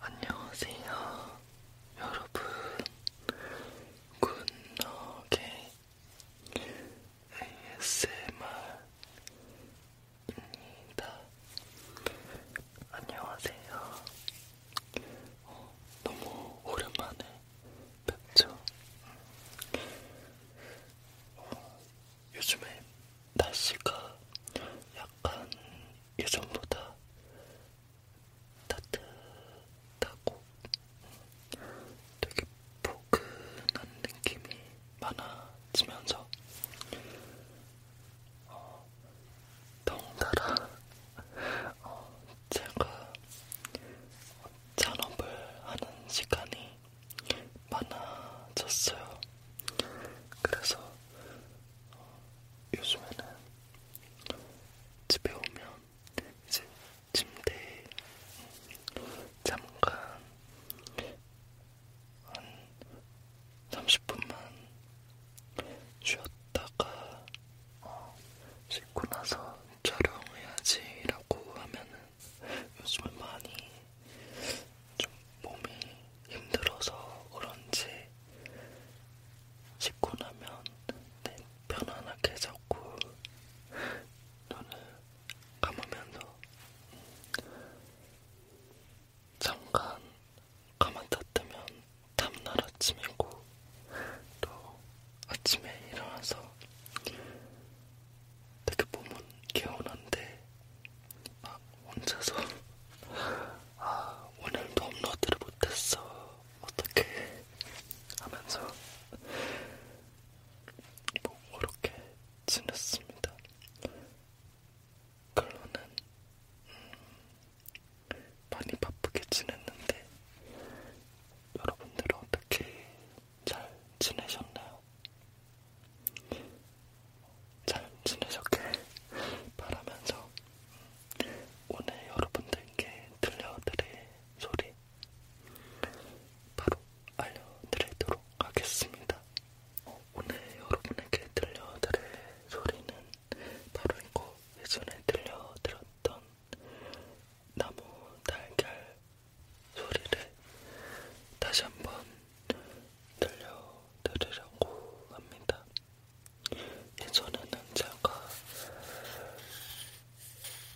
안녕하세요, 여러분. 굿너게 ASMR입니다. 안녕하세요. 어, 너무 오랜만에 뵙죠. 어, 요즘에 날씨가 약간 예전보다 따뜻하고 되게 포근한 느낌이 많아지면서 어, 덩달아 어, 제가 잔업을 하는 시간이 많아졌어요. 그래서 어, 요즘에는 집에 오면 이제 침대에 잠깐 한 30분만 쉬었다가 어, 씻고 나서 촬영해야지라고 하면은 요즘은 많이 좀 몸이 힘들어서 그런지 씻고 나면 네, 편안하게 자꾸 눈을 감으면서 음, 잠깐 가만다 뜨면 다음날 아침이고 또 아침에 일어나서 되게 몸은 개운한데 막 혼자서 아 오늘도 업로드를 못했어 어떻게 하면서 뭐 그렇게 지냈습니다. 결론은 음, 많이 바쁘게 지냈는데 여러분들은 어떻게 잘 지내셨나요? 잘 지내셨길 바라면서 오늘 여러분들께 들려드릴 소리 바로 알려드리도록 하겠습니다. 오늘 여러분에게 들려드릴 소리는 바로 이거 예전에 들려드렸던 나무 달걀 소리를 다시 한번 들려드리려고 합니다. 예전에는 제가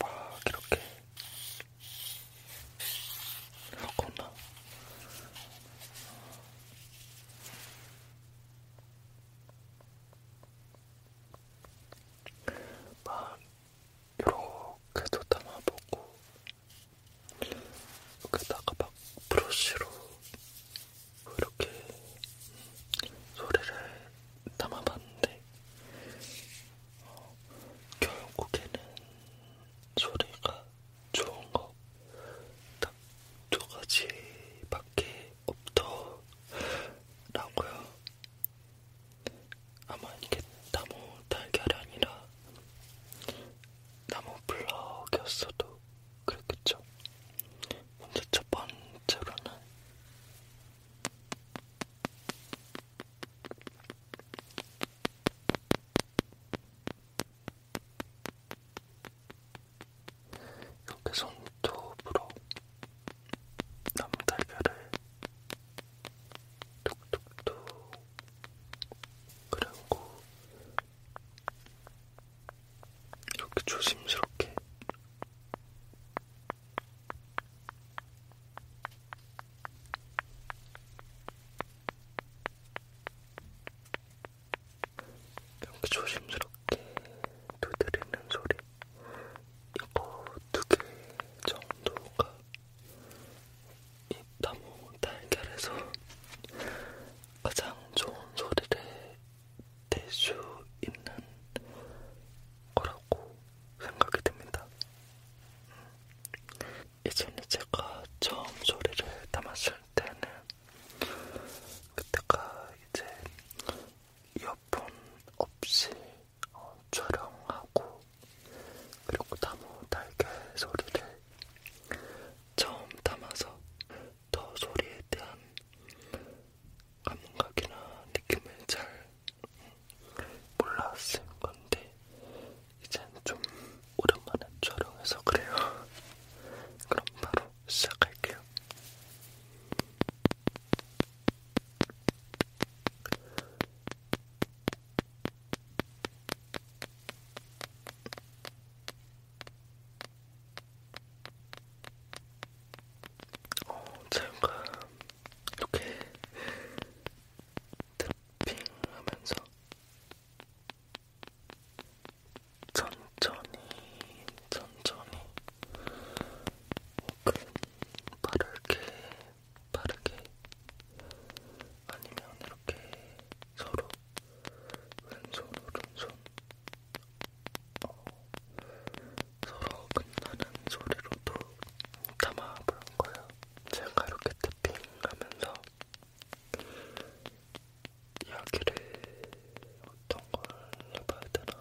막 이렇게 하거나 어, 막 이렇게도 담아보고 여기다가 막 브러쉬로 이렇게 소리를 담아봤는데 어, 결국에는 소리가 좋은 거 딱 두 가지밖에 없더라고요. 아마 이게 나무 달걀이 아니라 나무 블럭이었어도 그랬겠죠. 먼저 첫 번째로는 이렇게 손톱으로 남달걀을 톡톡톡 그리고 이렇게 조심스럽게 이렇게 조심스럽게 두드리는 소리 이거 뭐, 두개 정도가 이 나무 달걀에서 가장 좋은 소리를 낼 수 있는 거라고 생각이 듭니다. 예전에 음. 제가 처음 소리를 담았을 때는 그때가 이제 이어폰 없이 어, 촬영하고 그리고 나무 날개 소리를 처음 담아서 더 소리에 대한 감각이나 느낌을 잘 몰랐을 건데 이젠 좀 오랜만에 촬영해서 그래요. 그럼 바로 시작할게요. 어, 제가 이렇게 드핑하면서 천천히, 천천히 바르게 바르게 아니면 이렇게 서로 왼손 오른손 어, 서로 끝나는 소리로도 담아볼 거예요. 제가 이렇게 탭핑하면서 이야기를 어떤 걸 해봐야 되나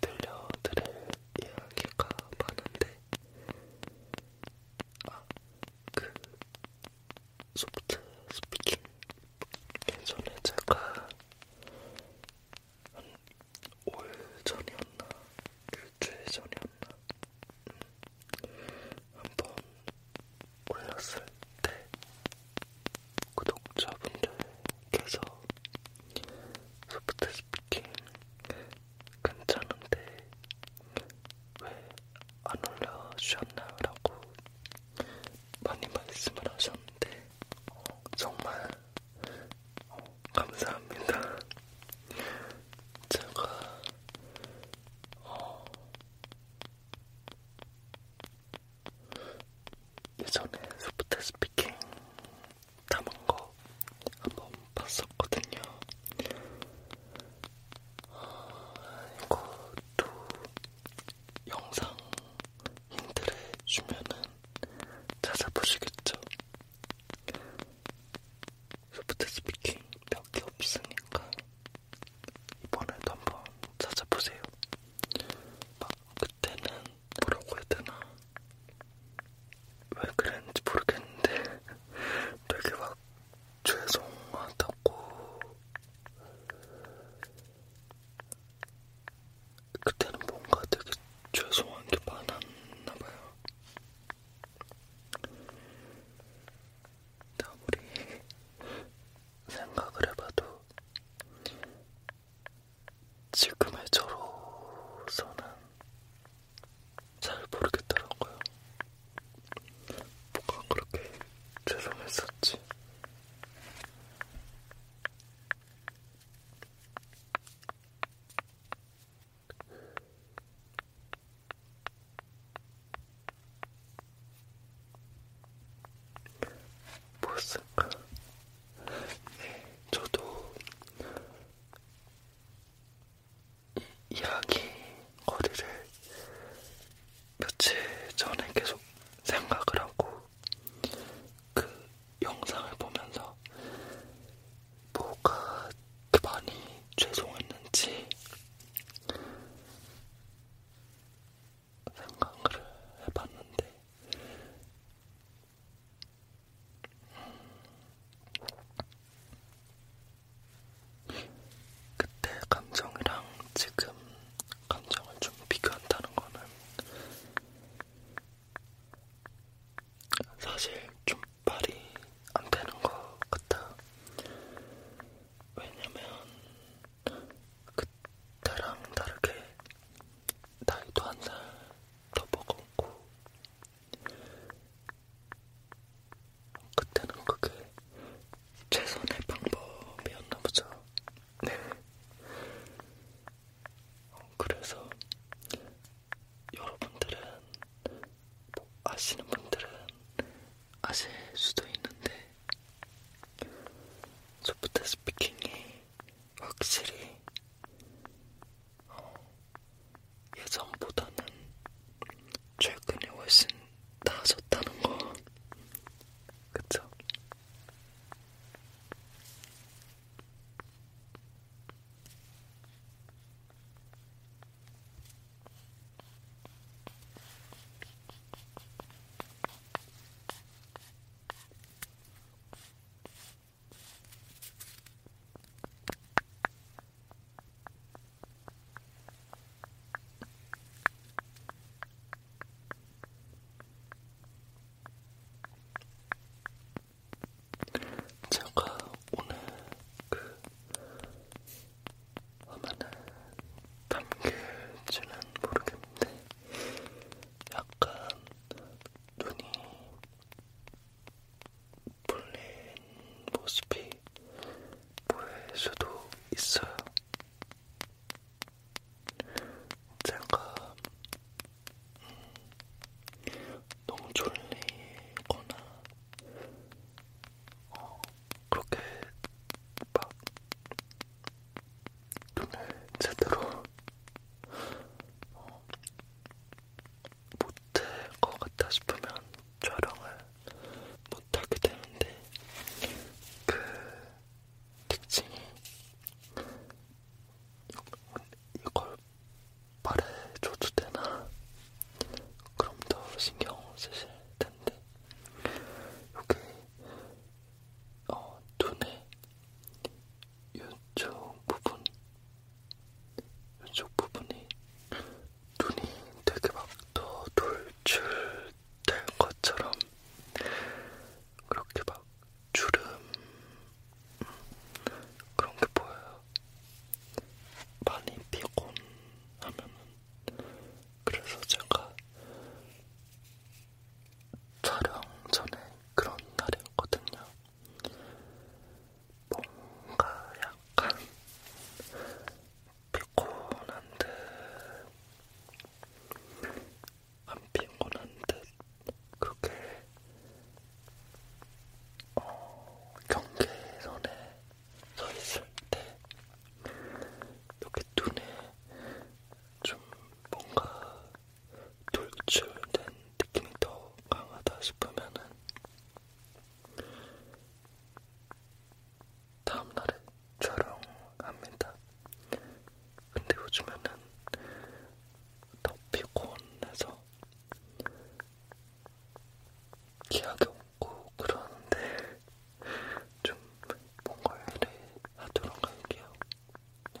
들려드릴 이야기가 많은데 아, 그 소프트 스피킹 예전에 제가 한 5일 전이었나 일주일 전이었나 음, 한번 올렸을 때 구독자분들께서 소프트 스피킹 괜찮은데 왜 안 올려주셨나요? 라고 많이 말씀을 하셨는데 어, 정말 어, 감사합니다. 제가 어, 예전에 소프트 스피킹 담은 거 한번 봤었거든요. 아, 이것도 영상 힌트를 주면은 찾아보시겠죠? 소프트 스피킹 몇 개 없으니까 이번에도 한번 찾아보세요. 막 그때는 뭐라고 해야 되나 왜 그랬는지 모르겠는데 되게 막 죄송하다고 그때는 뭔가 되게 죄송한 게 많았나봐요 아무리 생각을 해봐도 지금의 저로서는 잘 모르겠더라고요. 뭐가 그렇게 죄송했었지. 무엇인가? 네, 저도 이 이야기 거리를 며칠 전에 계속 생각을 하고 그 영상을 보면서 뭐가 많이 죄송했는지 생각을 해봤는데, 음, 그때 감정이랑 지금 감정을 좀 비교한다는 거는 사실 좀 말이 안 되는 것 같아. 왜냐면 그때랑 다르게 나이도 한 살 더 먹었고 그때는 그게 최선의 방법이었나 보죠. 네. 어, 그래서 여러분들은 뭐 아시는 분들은 아실 수도 있는데 소프트 스피킹이 확실히 어, 예전보다는 최근에 훨씬 나아졌다는 거 그쵸? 제가 오늘 그 아마는 담길지는 모르겠는데 약간 눈이 풀린 모습이 보일 수도 있어요. 제가 음, 너무 졸리거나 어, 그렇게 막 눈을 제대로 어, 못할 것 같다 싶으면 촬영을 못하게 되는데 그 특징이 이걸 말해 줘도 되나? 그럼 더 신경 쓰실 텐데 여기 어, 눈의 이쪽 부분, 이쪽 부분이 눈이 되게 막더 돌출된 것처럼 그렇게 막 주름 음, 그런 게 보여요. 많이 피곤하면은 그래서 제가 촬영 전에 그런 날이었거든요. 뭔가 약간 피곤한 듯, 안 피곤한 듯, 그게 어, 경계선에 서 있을 때 이렇게 눈에 좀 뭔가 돌출된 느낌이 더 강하다 싶으면은 다음날에 촬영합니다. 근데 요즘에는 더 피곤해서 기약이 같고 그러는데 좀 뭔가 일을 하도록 할게요. 네.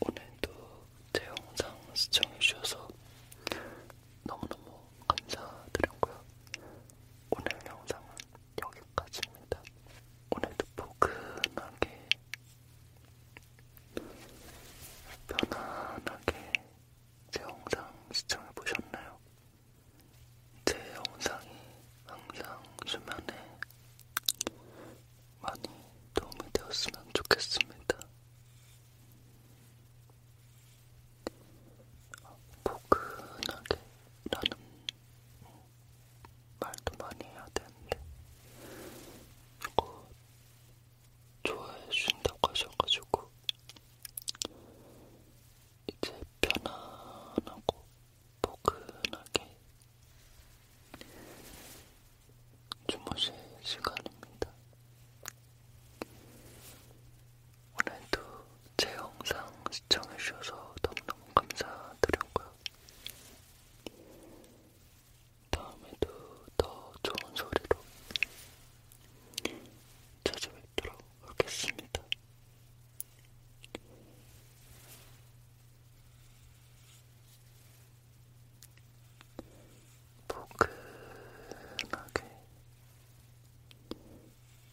오늘도 제 영상 시청해주셔서 너무너무 감사드렸고요. 오늘 영상은 여기까지입니다. 오늘도 포근하게 편안하게 제 영상 시청해 보셨나요? 제 영상이 항상 수면에 많이 도움이 되었으면 좋겠습니다. 포근하게라는 말도 많이 해야 되는데 이거 좋아해 준다고 하셔가지고 이제 편안하고 포근하게 주무실 시간입니다. 오늘도 제 영상 시청해주셔서 너무너무 감사드렸고요. 다음에도 더 좋은 소리로 찾아뵙도록 하겠습니다. 포근하게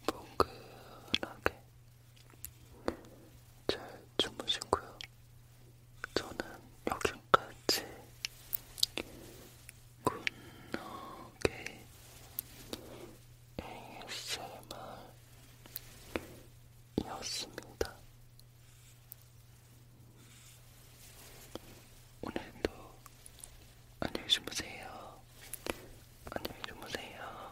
포근하게 잘 주무시고요. 저는 여기까지 굿노게 ASMR이었습니다. 오늘도 안녕히 주무세요. 안녕히 주무세요.